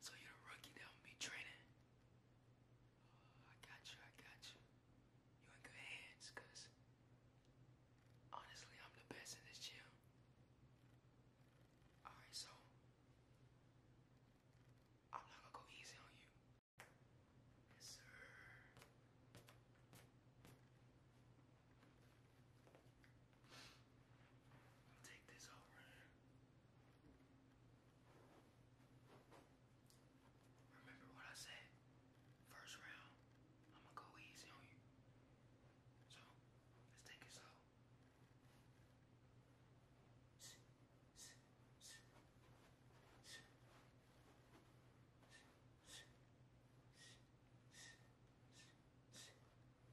So you're a rookie that will be training. Oh, I got you, I got you. You in good hands, honestly, I'm the best in this gym. Alright, so I'm not gonna go easy on you. Yes, sir i take this over. Remember what I said? First round, I'm gonna go easy on you. So, let's take it slow.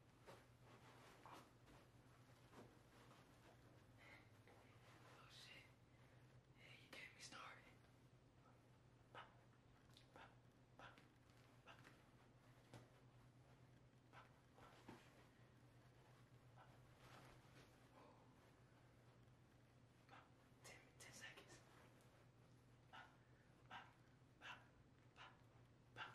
Oh shit. Hey, you get me started. Ten, ten seconds. Bah, bah, bah, bah, bah.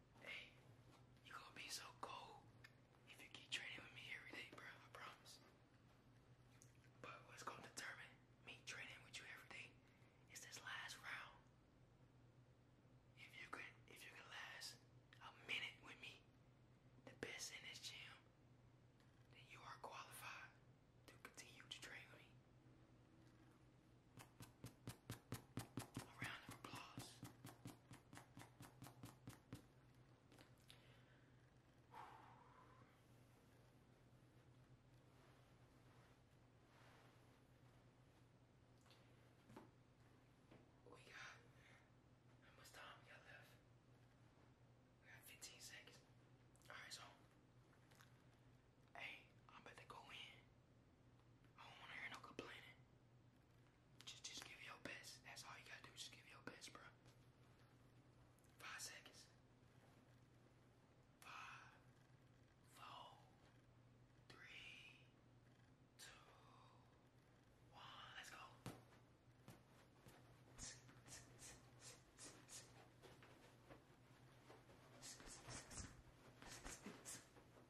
Hey, you gonna be so cool if you keep training with me every day, bro. I promise. But what's gonna determine me training with you every day is this last round. If you could, if you could last a minute with me, the best in this gym, then you are qualified to continue to train with me. A round applause. We got how much time we got left? We got 15 seconds. Alright, so hey, I'm about to go in. I don't want to hear no complaining. Just, just give your best. That's all you gotta do. Just give your best, bro. Five seconds. Five, four, three, two, one. Let's go.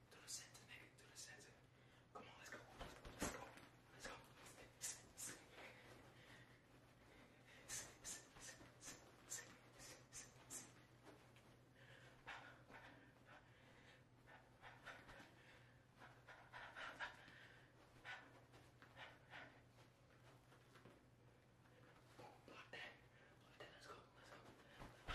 to the center, nigga, to the center. Come on, let's go. Let's go. Let's go. Block that. Block that. Let's go. Let's go.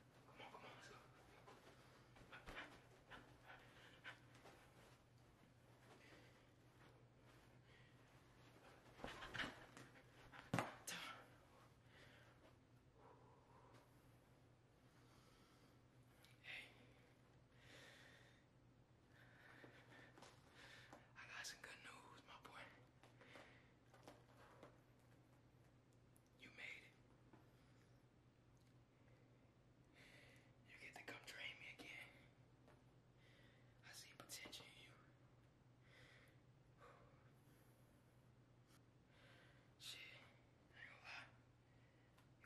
Come on, come on, let's go. Hey. I got some good news, my boy. You made it. You get to come train me again. I see potential in you. Shit, ain't gonna lie.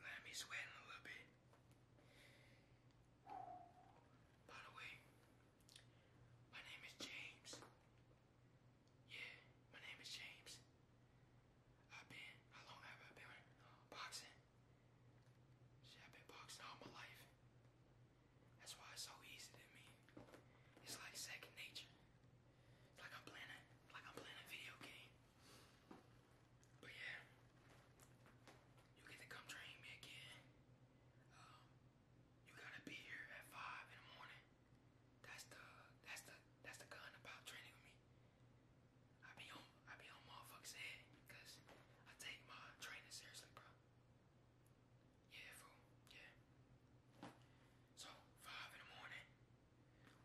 You had me sweating a little bit. By the way, my name is James. Yeah, my name is James. I've been, how long have I been boxing? I've been boxing all my life. That's why it's so easy to me. It's like second nature. It's like I'm playing like I'm playing a video game. But yeah, you get to come train me again. Um, you gotta be here at five in the morning. That's the that's the that's the gun about training with me. I be on I be on motherfuckers head because I take my training seriously, bro. Yeah, fool. Yeah. So five in the morning,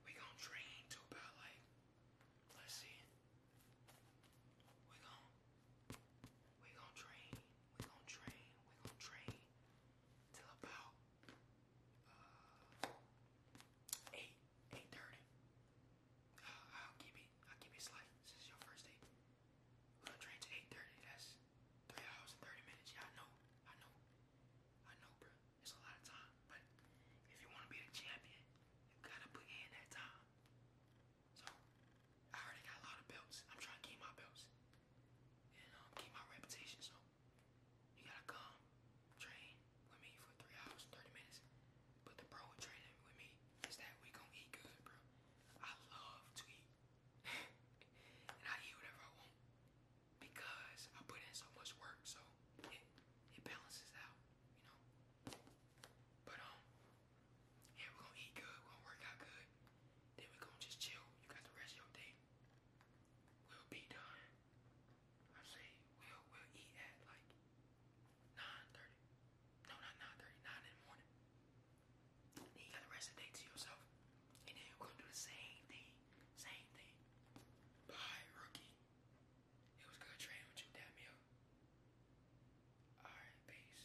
we gonna train to about like let's see. We gon' we gon' train, we gon' train, we gon' train till about uh, eight, eight thirty. Uh, I'll keep it. I'll keep it slight. This is your first date. gonna train to eight thirty. That's three hours and thirty minutes. Yeah, I know. I know. I know, bro. It's a lot of time. But if you wanna be the champion, you gotta put in that time. So I already got a lot of belts. I'm trying to keep my belts and um, keep my reputation. So you gotta come train with me for three hours, thirty minutes. But the pro training with me is that we gonna eat good, bro. I love to eat, and I eat whatever I want because I put in so much work. So it it balances out, you know. But um, yeah, we gonna eat good. we gonna work out good. Then we gonna just chill. You got the rest of your day will be done. I say we'll we'll eat at like 9:30. No, not 9:30, 9 in the morning. you got the rest of the day to yourself. And then we're gonna do the same thing. Same thing. Bye, rookie. It was good training with you, damn Alright, peace.